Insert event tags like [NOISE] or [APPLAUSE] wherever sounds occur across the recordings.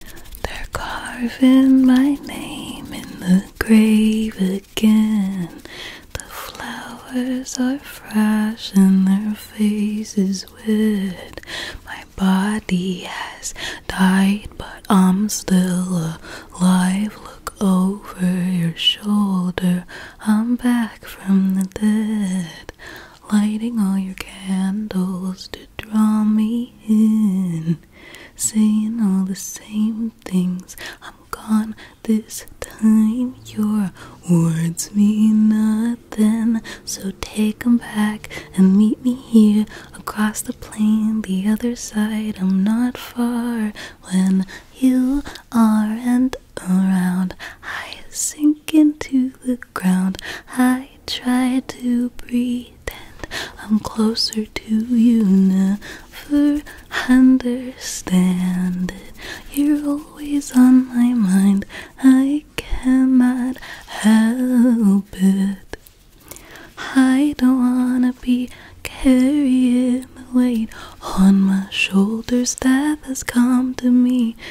They're carving my name in the grave again. The flowers are fresh and their face is wet. My body has died, but I'm still alive. Look over your shoulder, I'm back from the dead lighting all your candles to draw me in, saying all the same things. I'm gone this time, your words mean nothing. So take 'em back and meet me here across the plain, the other side. I'm not far when you are and around. I sink into the ground. I try to pretend I'm closer to you, never understand it. You're always on my mind, I cannot help it. I don't wanna be carrying the weight on my shoulders that has come to me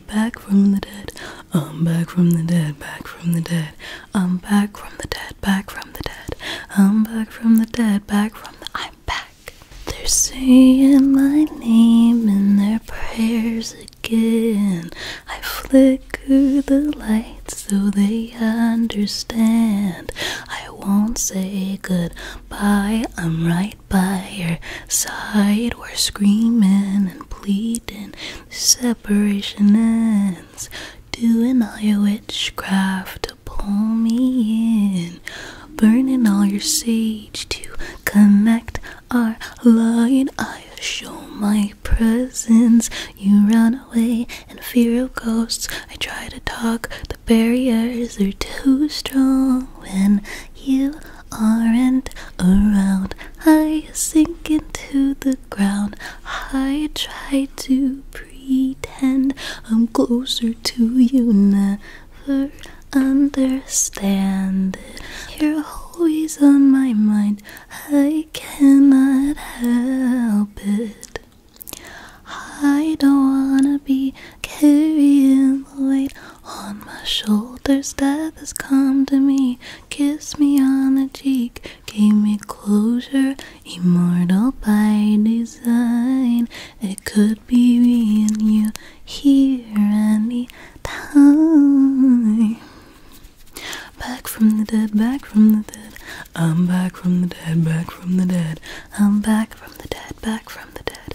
dead, back from the dead. I'm back from the dead, back from the dead. I'm back from the dead, back from the dead. I'm back from the dead, back from the I'm back. They're saying my name in their prayers again. I flicker the lights so they understand. I won't say goodbye. I'm right by your side. We're screaming and pleading. separation ends. Doing all your witchcraft to pull me in. Burning all your sage to connect our line. I show my presence. You run away in fear of ghosts. I try to talk. The barriers are too strong when you aren't around. I sink into the ground. I try to pretend I'm closer to you, never understand it. You're always on my mind. I cannot help it. I don't wanna be carrying the weight on my shoulders, death has come to me. Kiss me on the cheek, gave me closure. Immortal by design, it could be me and you here me time. Back from the dead, back from the dead. I'm back from the dead, back from the dead. I'm back from the dead, back from the dead.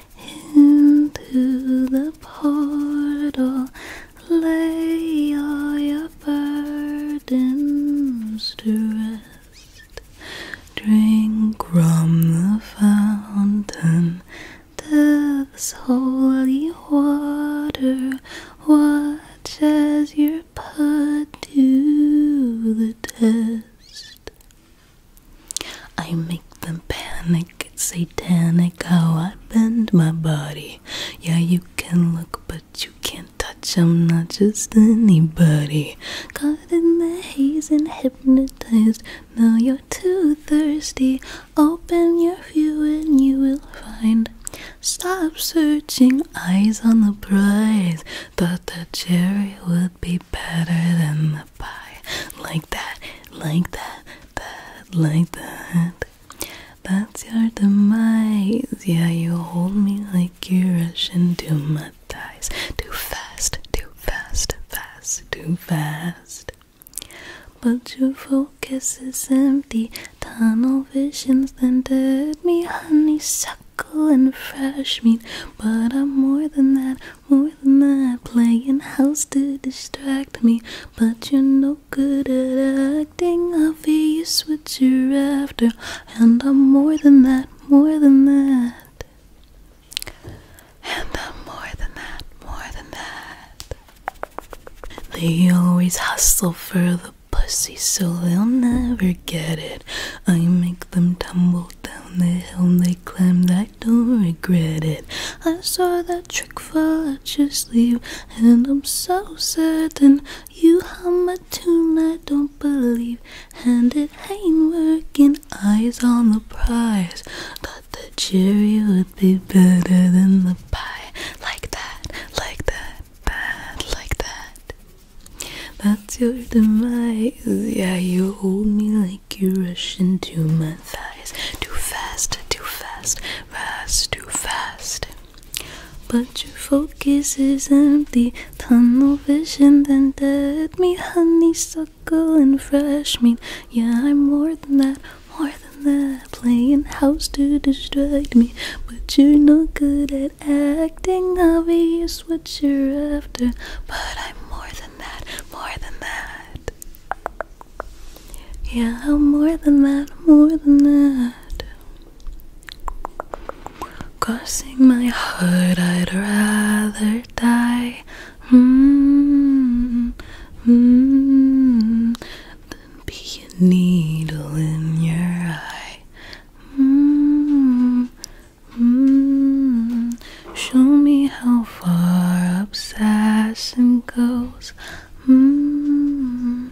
into the portal. Lay all your burdens to rest. Drink from the fountain, death's holy water. Watch as your are put to the test. I make them panic, it's satanic how I bend my body. Yeah, you can look, but you can't touch. I'm not just anybody. Caught in the haze and hypnotized. Now you're too thirsty. Open your view and you will find. Stop searching, eyes on the prize. Thought the cherry would be better than the like that, like that, that, like that. That's your demise. Yeah, you hold me like you're rushing to my thighs. Too fast, too fast, fast, too fast. But your focus is empty. Tunnel visions then dead me honeysuckle and fresh meat. But I'm more than that more than that. Playing house to distract me, but you're no good at acting. Obvious what you're after, and I'm more than that, more than that. And I'm more than that, more than that. They always hustle for the pussy, so they'll never get it. I make them tumble down the hill, and they climb that don't regret it. I saw that trick fall at your sleeve, and I'm so certain you hum a tune I don't believe, and it ain't working. Eyes on the prize, Thought the cherry would be better than the pie. Like that, like that, bad, like that. That's your demise. Yeah, you hold me like make you rush into my thighs too fast, too fast, fast, too fast. But your focus is empty, tunnel vision, then dead me, honeysuckle and fresh meat. Yeah, I'm more than that, more than that. Playing house to distract me, but you're no good at acting. i Obvious what you're after, but I'm more than than more than that. Yeah, I'm more than that, more than that. Crossing my heart, I'd rather die. hmm -hmm. Than be a needle in your eye. -hmm. Mm, show me how far obsession goes. Mm,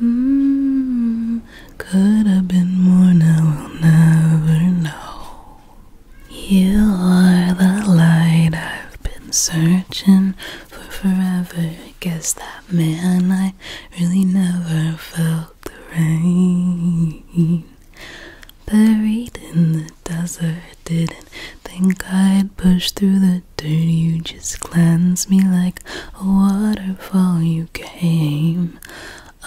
mm, could have been more, now we'll never know. You are the light I've been searching for forever. Guess that man I really never felt the rain. Buried in the desert, didn't think I'd push through the dirt. You just cleansed me like a waterfall. You came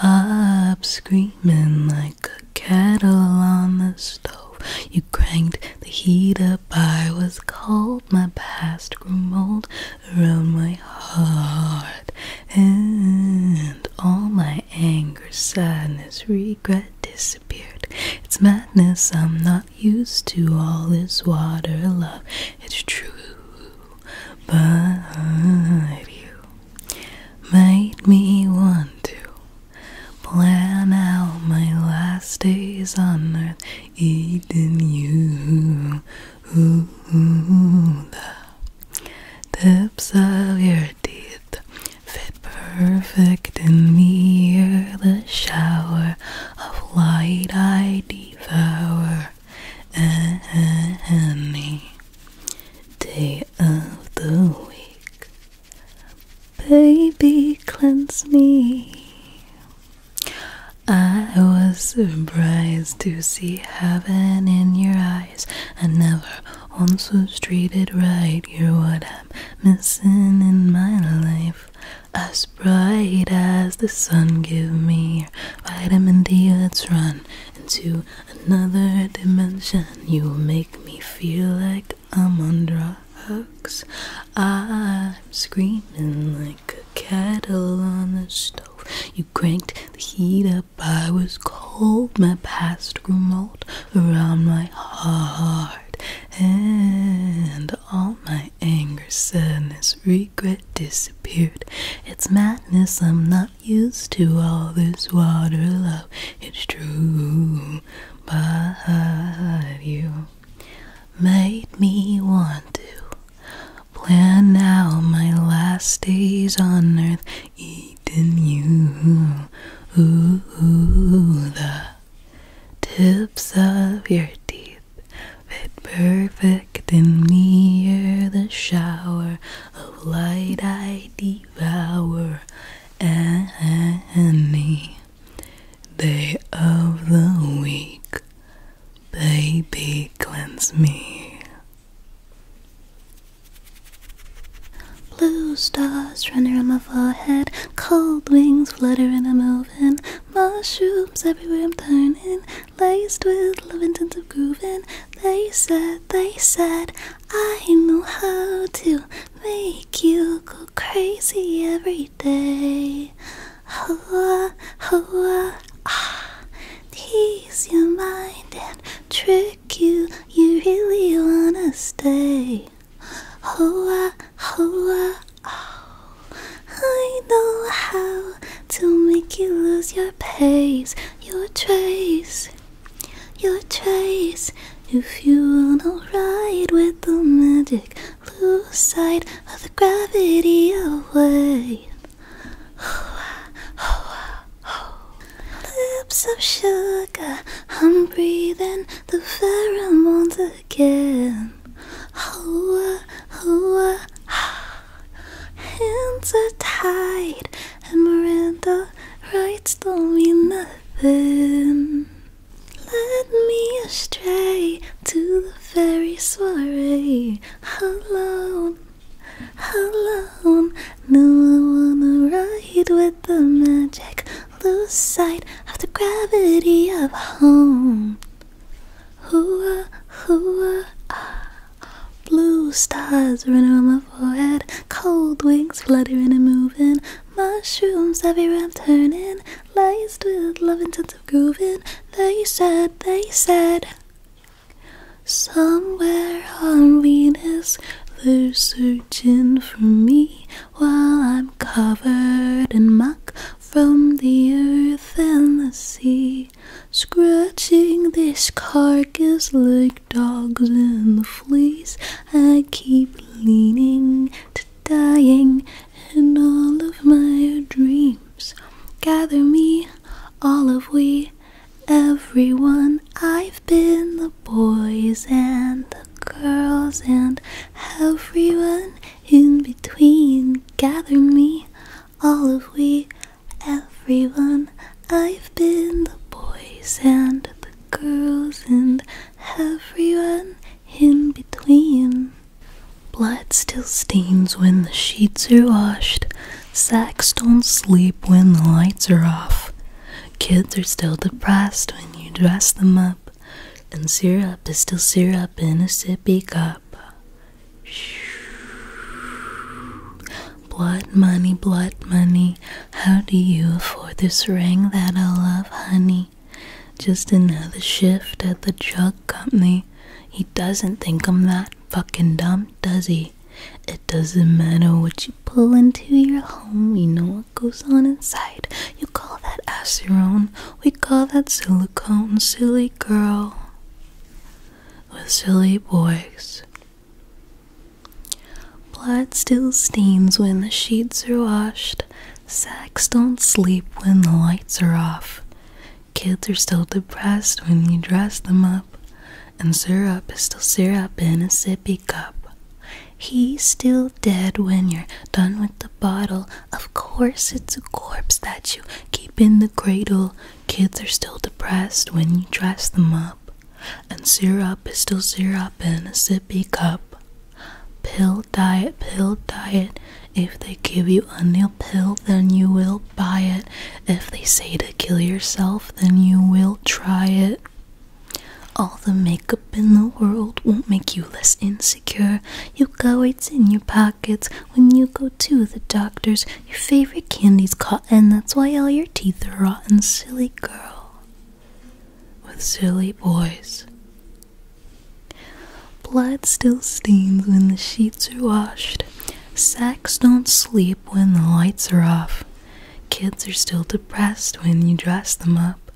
up screaming like a kettle on the stove. You cranked the heat up. I was cold. My past grew mold around my heart. And all my anger, sadness, regret disappeared. It's madness I'm not used to. All this water love, it's true. But you made me want to plan out my last days on earth, Even you. ooh, the Tips of your teeth fit perfect in me. The shower of light I devour any day of the week. Baby, cleanse me. I was surprised to see heaven in your eyes. and never on so treated right. You're what I'm missing in my life. As bright as the sun, give me vitamin D. Let's run into another dimension. You make me feel like I'm on drugs. I'm screaming like a kettle on the stove. You cranked the heat up. I was cold. My past grew mold around my heart, and all my anger, sadness, regret disappeared. It's madness, I'm not used to all this water love. It's true, but you made me want to. Plan out my last days on earth eating you. Ooh, the tips of your teeth fit perfect in me. You're the shower of light I devour. Any day of the week, baby, cleanse me. Blue stars running around my forehead, cold wings fluttering and moving, mushrooms everywhere I'm turning, laced with love and of grooving. They said, they said, I know how to make you go crazy every day. Hoa, hoa, ah, tease your mind and trick you, you really wanna stay. Hoa, hoa, oh. I know how to make you lose your pace, your trace, your trace. If you wanna ride with the magic, lose sight of the gravity away. Hoa, hoa, Lips of sugar, I'm breathing the pheromones again. Oh, oh, ah. Hands are tied, and Miranda writes, don't mean nothing. Led me astray to the fairy soiree alone alone. No, I wanna ride with the magic. Lose sight of the gravity of home. Hooah, hooah, ah. Blue stars running on my forehead. Cold wings fluttering and moving. Mushrooms everywhere I'm turning. Laced with love and tons of grooving. They said, they said. Somewhere on Venus, they're searching for me while I'm covered in muck from the earth and the sea, scratching this carcass like dogs in the fleas. I keep leaning to dying in all of my dreams. Gather me, all of we, everyone. I've been the boys and the girls and everyone in between. Gather me, all of we, everyone. I've been the boys and the girls and everyone in between. Blood still stains when the sheets are washed. Sacks don't sleep when the lights are off. Kids are still depressed when you dress them up. And syrup is still syrup in a sippy cup. Blood money, blood money. How do you afford this ring that I love, honey? Just another shift at the drug company. He doesn't think I'm that fucking dumb, does he? It doesn't matter what you pull into your home, We know what goes on inside. You call that acerone, we call that silicone, silly girl with silly boys. Blood still stains when the sheets are washed. Sacks don't sleep when the lights are off. Kids are still depressed when you dress them up and syrup is still syrup in a sippy cup. He's still dead when you're done with the bottle. Of course, it's a corpse that you keep in the cradle. Kids are still depressed when you dress them up, and syrup is still syrup in a sippy cup. Pill diet, pill diet. If they give you a new pill, then you will buy it. If they say to kill yourself, then you will try it. All the makeup in the world won't make you less insecure. You got weights in your pockets when you go to the doctors. Your favorite candy's caught, and that's why all your teeth are rotten. Silly girl with silly boys. Blood still stains when the sheets are washed. Sacks don't sleep when the lights are off. Kids are still depressed when you dress them up,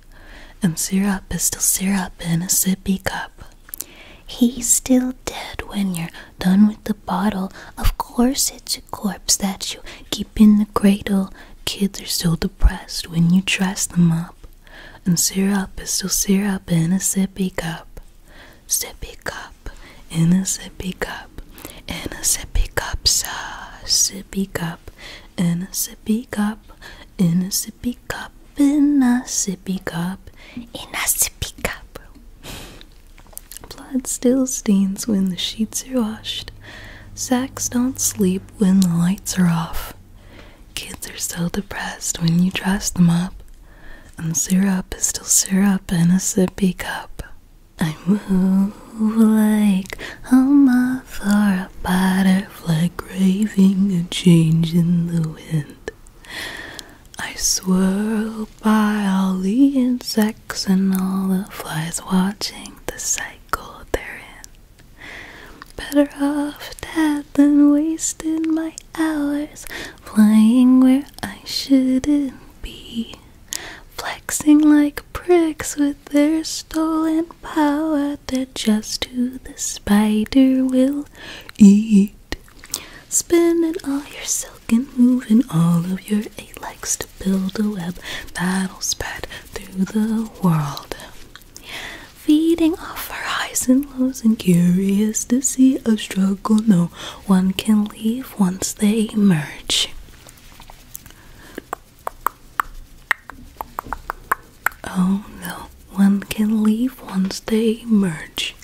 and syrup is still syrup in a sippy cup. He's still dead when you're done with the bottle. Of course, it's a corpse that you keep in the cradle. Kids are still depressed when you dress them up, and syrup is still syrup in a sippy cup. Sippy cup in a sippy cup, in a sippy cup, sa sippy cup, in a sippy cup, in a sippy cup, in a sippy cup, in a sippy cup. Blood still stains when the sheets are washed. Sacks don't sleep when the lights are off. Kids are still depressed when you dress them up. And syrup is still syrup in a sippy cup. I move like a moth or a butterfly craving a change in the wind. I swirl by all the insects and all the flies watching the cycle they're in. Better off dead than wasting my hours flying where I shouldn't be flexing like pricks with their stolen power that just who the spider will eat. Spinning all your silk and moving all of your eight legs to build a web that'll spread through the world. Feeding off our highs and lows and curious to see us struggle, no one can leave once they emerge. Oh no, one can leave once they emerge.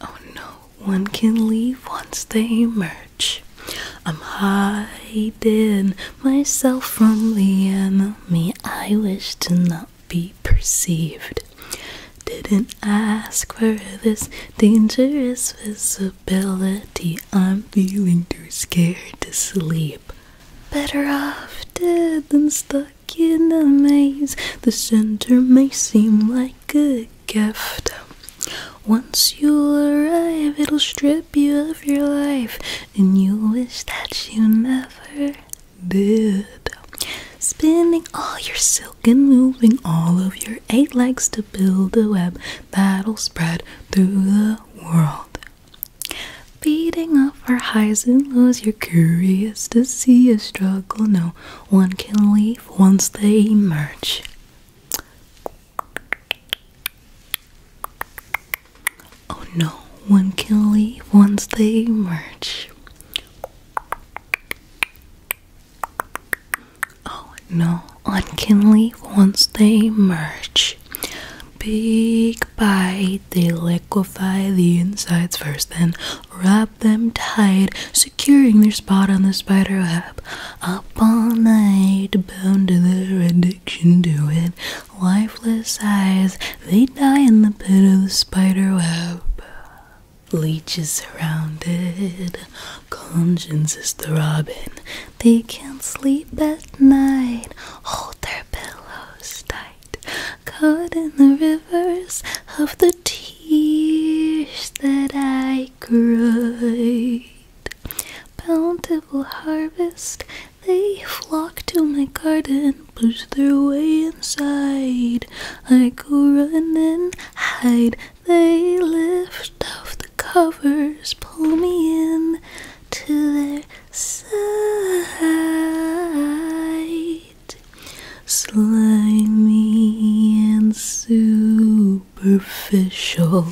Oh no, one can leave once they emerge. I'm hiding myself from the enemy. I wish to know be perceived. Didn't ask for this dangerous visibility. I'm feeling too scared to sleep. Better off dead than stuck in a maze. The center may seem like a gift. Once you arrive, it'll strip you of your life, and you will wish that you never Good. Spinning all your silk and moving all of your eight legs to build a web that'll spread through the world. Beating up our highs and lows, you're curious to see a struggle no one can leave once they emerge. Oh, no one can leave once they emerge. Oh no, on can leave once they merge. Big bite, they liquefy the insides first, then wrap them tight, securing their spot on the spider web. Up all night, bound to their addiction to it, lifeless eyes they die in the pit of the spider web. Leeches surrounded, conscience is throbbing. They can't sleep at night, hold their pillows tight. Caught in the rivers of the tears that I cried. Bountiful harvest, they flock to my garden push their way inside. I go run and hide. They lift off the covers, pull me in to their side. Slimy and superficial,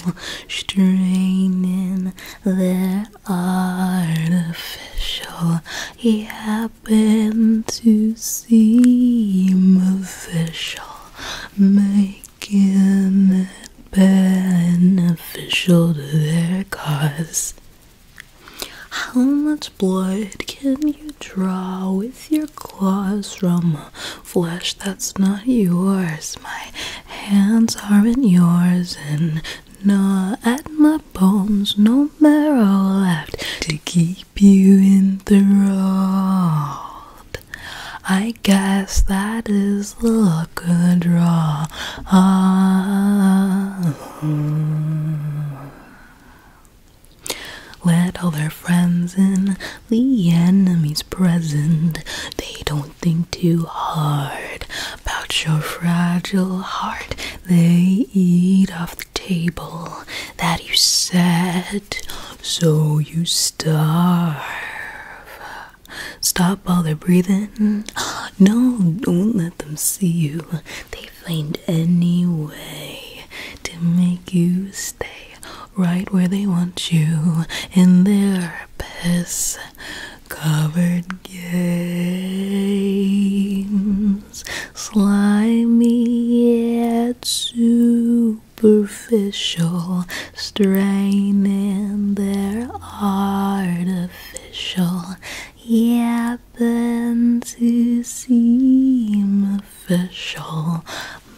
straining their artificial. Yeah happened to seem official, making it beneficial to their cause. How much blood can you draw with your claws from flesh that's not yours? My hands aren't yours, and gnaw at my bones, no marrow left to keep you in enthralled. I guess that is the luck of the draw. Let all their friends in, the enemies present. They don't think too hard about your fragile heart. They eat off table that you set so you starve. Stop all their breathing. No, don't let them see you. They find any way to make you stay right where they want you in their piss covered game seems slimy yet superficial, straining in their artificial, yapping to seem official,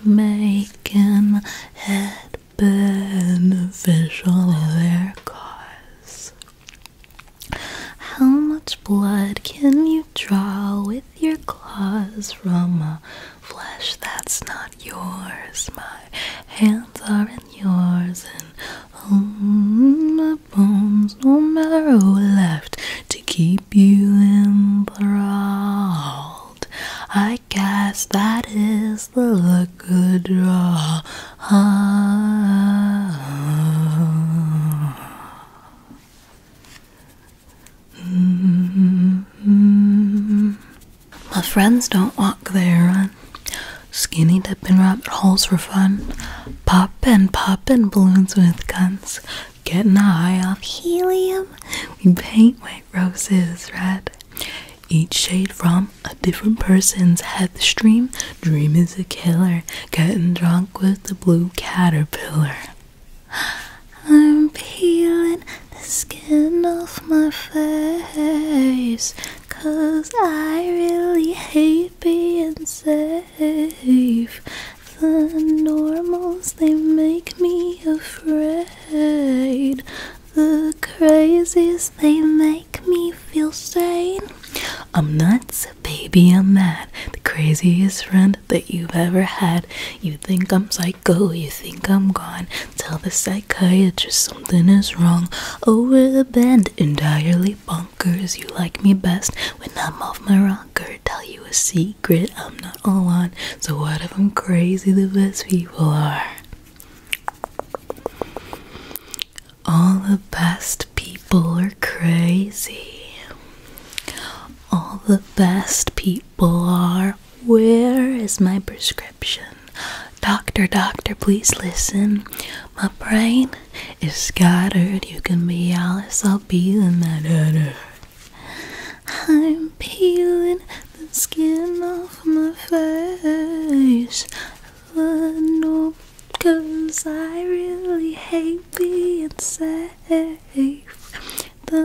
making it beneficial their cause. How much blood can you draw with your claws from a flesh that's not yours? My hands are in yours, and oh, my bones, no matter who left to keep you enthralled. I guess that is the look good draw Ah. My friends don't walk, they run. Skinny dipping rabbit holes for fun. Poppin', poppin' balloons with guns. Getting high off helium. We paint white roses red. Each shade from a different person's head the stream. Dream is a killer. Getting drunk with the blue caterpillar. I'm peeling the skin off my face. Cause I really hate being safe. The normals, they make me afraid. The crazies, they make me feel sane. I'm nuts, baby, I'm mad. The craziest friend that you've ever had. You think I'm psycho, you think I'm gone. Tell the psychiatrist something is wrong. Over the bend, entirely bonkers. You like me best when I'm off my rocker. Tell you a secret, I'm not all on. So, what if I'm crazy? The best people are. All the best people are crazy. All the best people are. Where is my prescription? Doctor, doctor, please listen. My brain is scattered. You can be Alice, I'll be the matter. I'm peeling the skin off my face no, cause I really hate being safe. The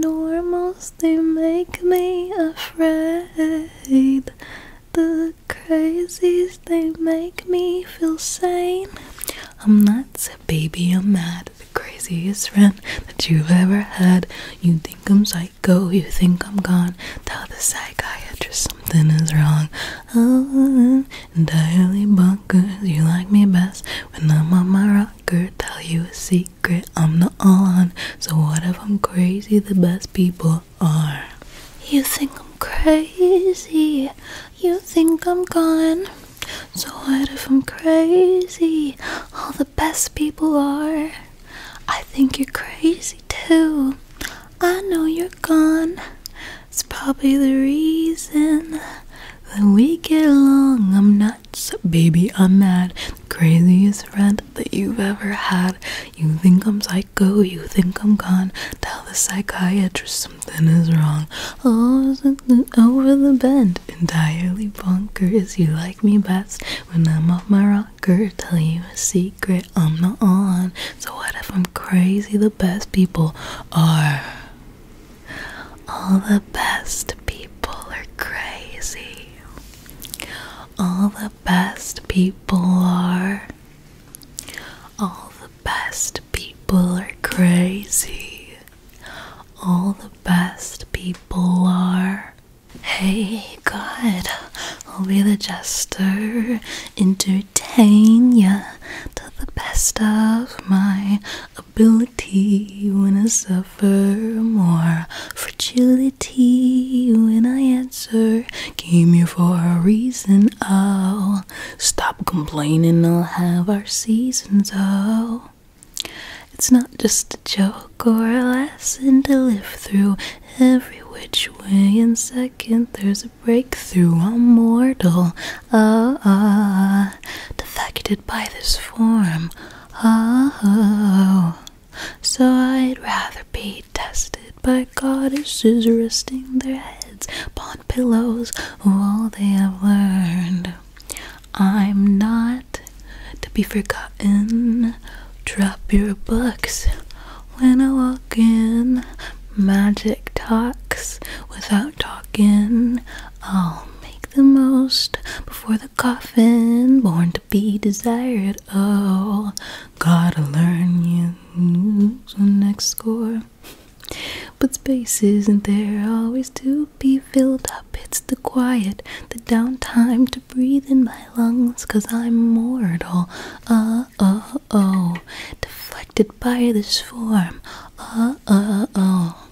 normals, they make me afraid. The crazies, they make me feel sane. I'm nuts, baby, I'm mad. The craziest friend that you've ever had. You think I'm psycho, you think I'm gone. Tell the psychiatrist something is wrong. Oh, entirely bonkers. You like me best when I'm on my rocker. Tell you a secret, I'm not on. So what if I'm crazy? The best people are. You think I'm crazy? You think I'm gone? So what if I'm crazy? All the best people are. I think you're crazy too. I know you're gone. It's probably the reason that we get along. I'm nuts, baby, I'm mad. The craziest friend that you've ever had. You think I'm psycho, you think I'm gone. Tell the psychiatrist something is wrong. Oh, something over the bend. Entirely bonkers. You like me best when I'm off my rocker. Tell you a secret. I'm not on. So, what if I'm crazy? The best people are. All the best people are crazy. All the best people are. All the best people are crazy. All the best people are. Hey, God, I'll be the jester into to the best of my ability when I suffer more fragility when I answer. Came here for a reason, I'll oh, Stop complaining, I'll have our seasons, oh. It's not just a joke or a lesson to live through every which way. And second, there's a breakthrough, a mortal. Ah, ah, defected by this form. Ah, oh, so I'd rather be tested by goddesses resting their heads upon pillows of all they have learned. I'm not to be forgotten. Drop your books when I magic talks without talking. I'll make the most before the coffin. Born to be desired. Oh, gotta learn you. the next score. But space isn't there always to be filled up. It's the quiet, the downtime to breathe in my lungs, cause I'm mortal. Uh uh oh oh. Deflected by this form. Uh oh oh.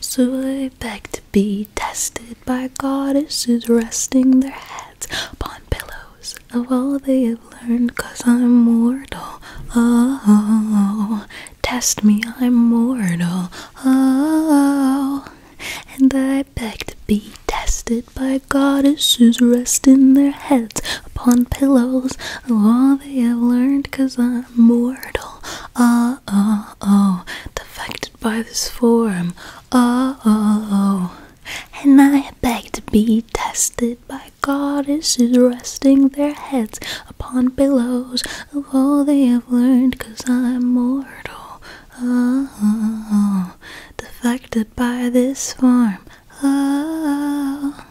Swayed back to be tested by goddesses resting their heads upon pillows of all they have learned, cause I'm mortal. Oh, oh, oh. test me, I'm mortal. Oh, oh, oh. and I beg to be tested by goddesses resting their heads upon pillows. All they have learned, cause I'm mortal. Oh, oh, oh, defected by this form. Oh, oh, oh. And I beg to be tested by goddesses resting their heads upon pillows of all they have learned, cause I'm mortal. Oh, oh, oh. defected by this form oh,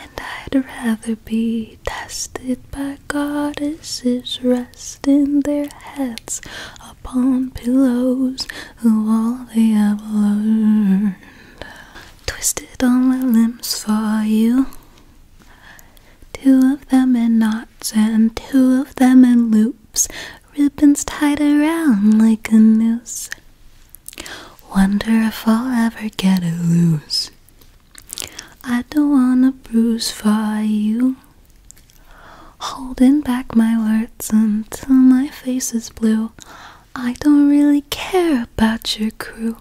and I'd rather be tested by goddesses resting their heads upon pillows who all they ever learned. Twisted all my limbs for you. Two of them in knots and two of them in loops, ribbons tied around like a noose. Wonder if I'll ever get it loose. I don't wanna bruise for you. Holding back my words until my face is blue. I don't really care about your crew.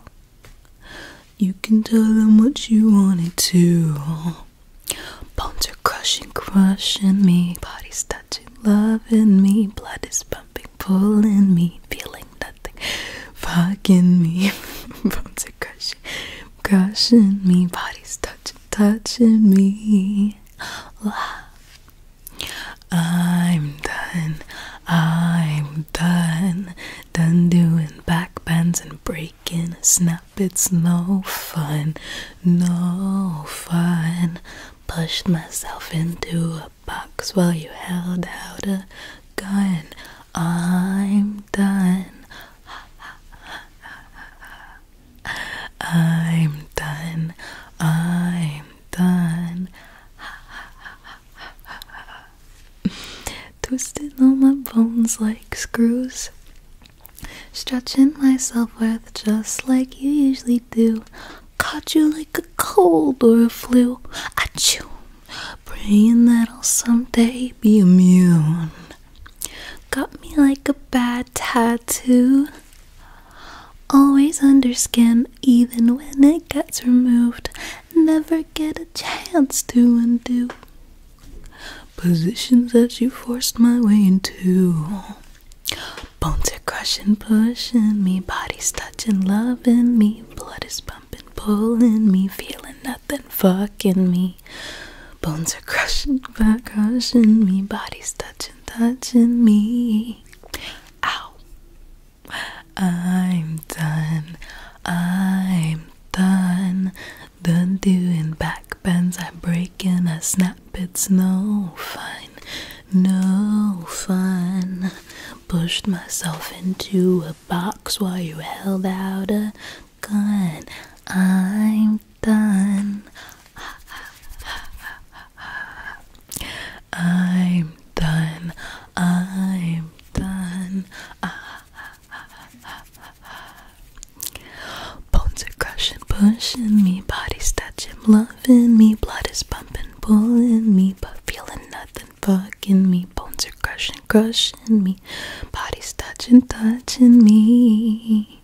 You can tell them what you wanted to. Bones are crushing, crushing me. Bodies touching, loving me. Blood is pulling me, feeling nothing, fucking me. [LAUGHS] Bones are crushing, crushing me. Body's touching, touching me. I'm done. I'm done. Done doing back bends and breaking a snap. It's no fun. No fun. Pushed myself into a box while you held out a gun. I'm done. I'm done. I'm done. Twisting all my bones like screws. Stretching myself with just like you usually do caught you like a cold or a flu. Achoo, praying that I'll someday be immune. Got me like a bad tattoo. Always under skin, even when it gets removed. Never get a chance to undo positions that you forced my way into. Bones are crushing, pushing me, bodies touching, loving me, blood is pumping, pulling me, feeling nothing, fucking me. Bones are crushing, back crushing me, bodies touching, touching me. Ow. I'm done. I'm done. Done doing back bends. I'm breaking a snap that bit's no fun, no fun. Pushed myself into a box while you held out a gun. I'm done. I'm done. I'm done. Bones are crushing, pushing me, bodies touching, love loving me, blood is pumping, pulling me, but feeling nothing, fucking me, bones are crushing, crushing me, body's touching, touching me.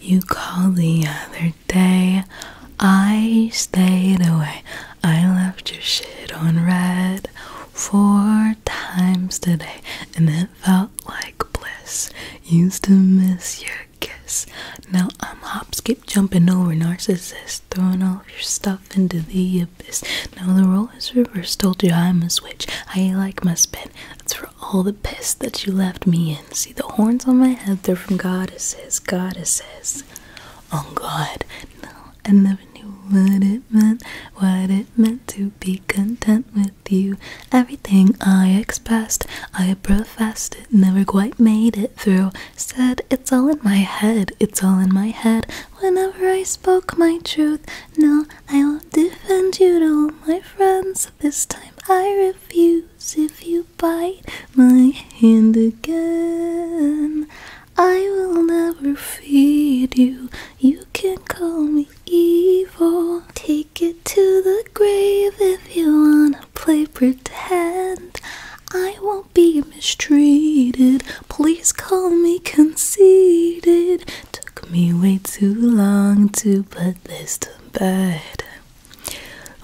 You called the other day, I stayed away, I left your shit on red four times today, and it felt like bliss. Used to miss you kiss. Now I'm hop, skip, jumping over narcissists, throwing all your stuff into the abyss. Now the role reversed, told you I'm a switch. I like my spin. That's for all the piss that you left me in. See the horns on my head, they're from goddesses, goddesses. Oh god, no, I never knew what it meant, what it meant to be content with you. Everything I expressed, I professed it, never quite made it through said, It's all in my head, it's all in my head. Whenever I spoke my truth, no, I'll defend you to my friends. This time I refuse if you bite my hand again. I will never feed you. You can call me evil. Take it to the grave if you wanna play pretend, I won't be mistreated. Please call me conceited. Took me way too long to put this to bed.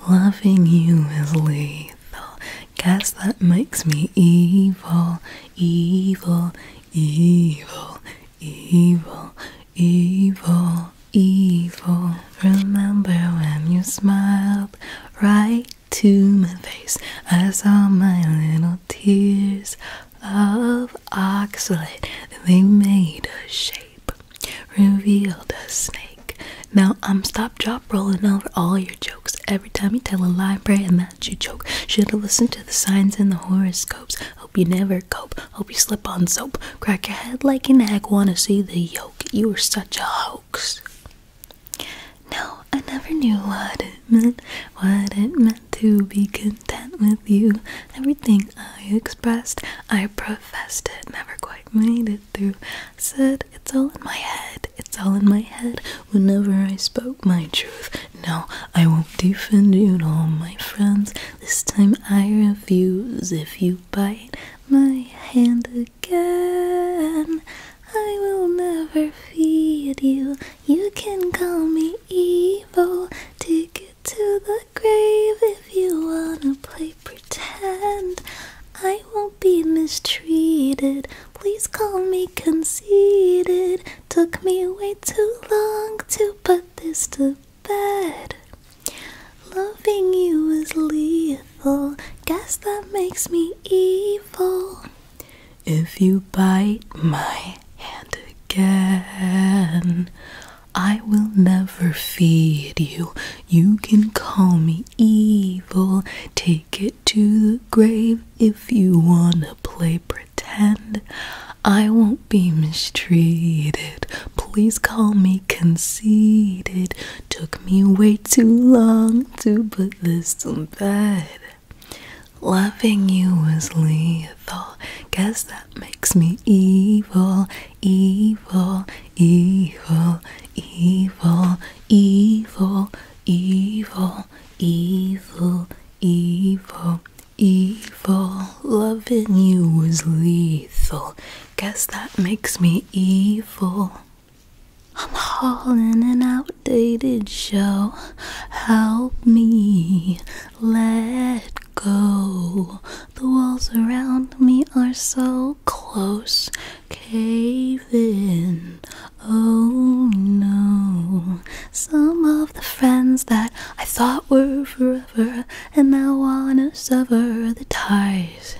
Loving you is lethal. Guess that makes me evil, evil, evil, evil, evil evil. Remember when you smiled right to my face? I saw my little tears of oxalate, and they made a shape, revealed a snake. Now I'm stop, drop, rolling over all your jokes. Every time you tell a lie, pray, and that you choke. Should've listened to the signs in the horoscopes. Hope you never cope. Hope you slip on soap. Crack your head like an egg. Wanna see the yolk? You were such a hoax. No, I never knew what it meant, what it meant to be content with you. Everything I expressed, I professed it, never quite made it through. I said, it's all in my head, it's all in my head. Whenever I spoke my truth, no, I won't defend you to my friends. This time I refuse if you bite my hand again. I will never feed you. You can call me evil. Take it to the grave if you wanna play pretend. I won't be mistreated. Please call me conceited. Took me way too long to put this to bed. Loving you is lethal. Guess that makes me evil. If you bite my hand again, I will never feed you. You can call me evil. Take it to the grave if you wanna play pretend. I won't be mistreated. Please call me conceited. Took me way too long to put this to bed. Loving you was lethal. Guess that makes me evil, evil, evil, evil, evil, evil, evil, evil, evil. Loving you was lethal. Guess that makes me evil. I'm hauling an outdated show. Help me let go. The walls around me are so close. Cave in. Oh no. Some of the friends that I thought were forever and now wanna sever the ties.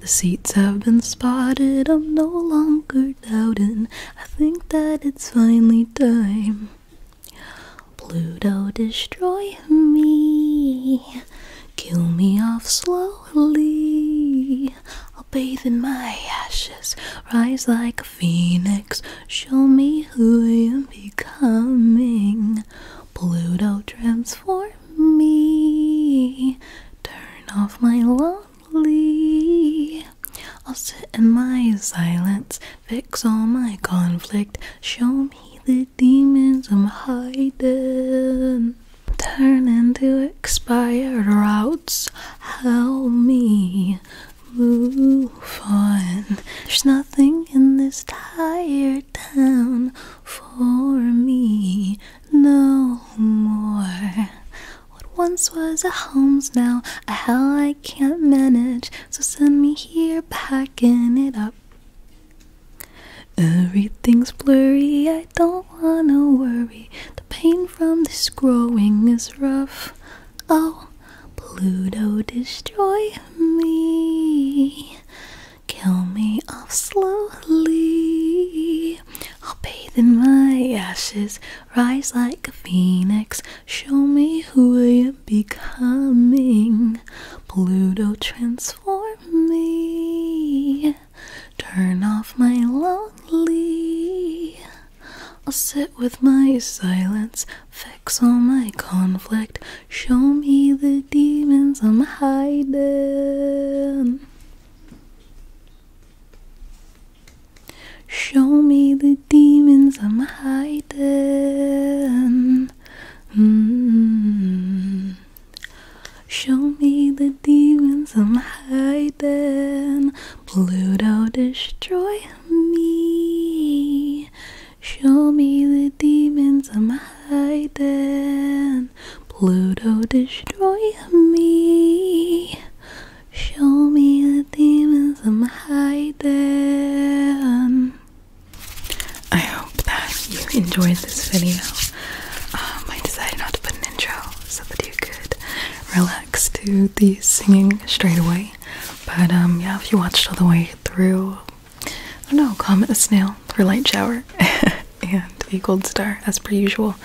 The seats have been spotted, I'm no longer doubting. I think that it's finally time. Pluto, destroy me. Kill me off slowly. I'll bathe in my ashes, rise like a phoenix. Show me who I am becoming. Pluto, transform me. Turn off my lonely. I'll sit in my silence, fix all my conflict. Show me the demons I'm hiding. Turn into expired routes. Help me move on. There's nothing in this tired town for me no more. What once was a home's now a hell I can't manage, so send me here packing it up. Everything's blurry, I don't wanna worry. The pain from this growing is rough. Oh, Pluto, destroy me kill me off slowly. I'll bathe in my ashes, rise like a phoenix. Show me who I am becoming. Pluto, transform me. Turn off my lonely. I'll sit with my silence, fix all my conflict, Show me the demons I'm hiding. Show me the demons I'm hiding. Mm-hmm. Show me the demons I'm hiding. Pluto, destroy me. Show me the demons I'm hiding. Pluto, destroy me. Show me the demons I'm hiding. I hope that you enjoyed this video. Um, I decided not to put an intro so that you could relax to the singing straight away. But um, yeah, if you watched all the way through, I oh, don't know, Comet a Snail for Light Shower [LAUGHS] and a gold star as per usual.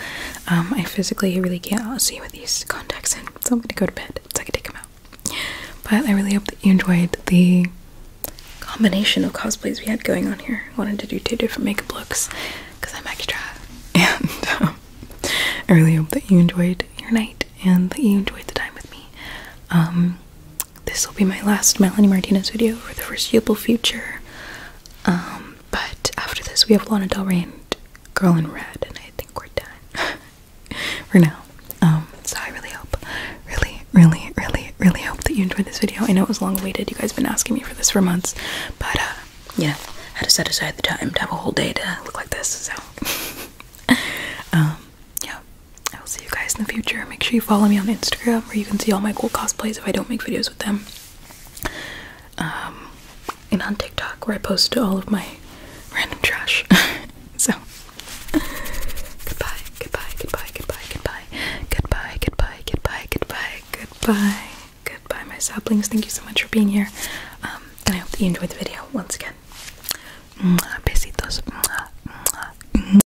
Um, I physically really can't see with these contacts in, so I'm gonna go to bed so I can take them out. But I really hope that you enjoyed the combination of cosplays we had going on here. I wanted to do two different makeup looks because I'm extra. [LAUGHS] And um, I really hope that you enjoyed your night and that you enjoyed the time with me. Um, this will be my last Melanie Martinez video for the foreseeable future. Um, but after this, we have Lana Del Rey and Girl in Red, and I think we're done [LAUGHS] for now. Um, so I really hope, really, really, really, really hope that you enjoyed this video. I know it was long awaited. You guys been asking me for this for months, but uh, yeah, I had to set aside the time to have a whole day to look like this. So, [LAUGHS] um, yeah. I will see you guys in the future. Make sure you follow me on Instagram where you can see all my cool cosplays if I don't make videos with them. Um, and on TikTok where I post all of my random trash. [LAUGHS] so, goodbye, goodbye, goodbye, goodbye, goodbye, goodbye, goodbye, goodbye, goodbye, goodbye, goodbye, my saplings. Thank you so much for being here. Um, and I hope that you enjoyed the video once again. Besitos.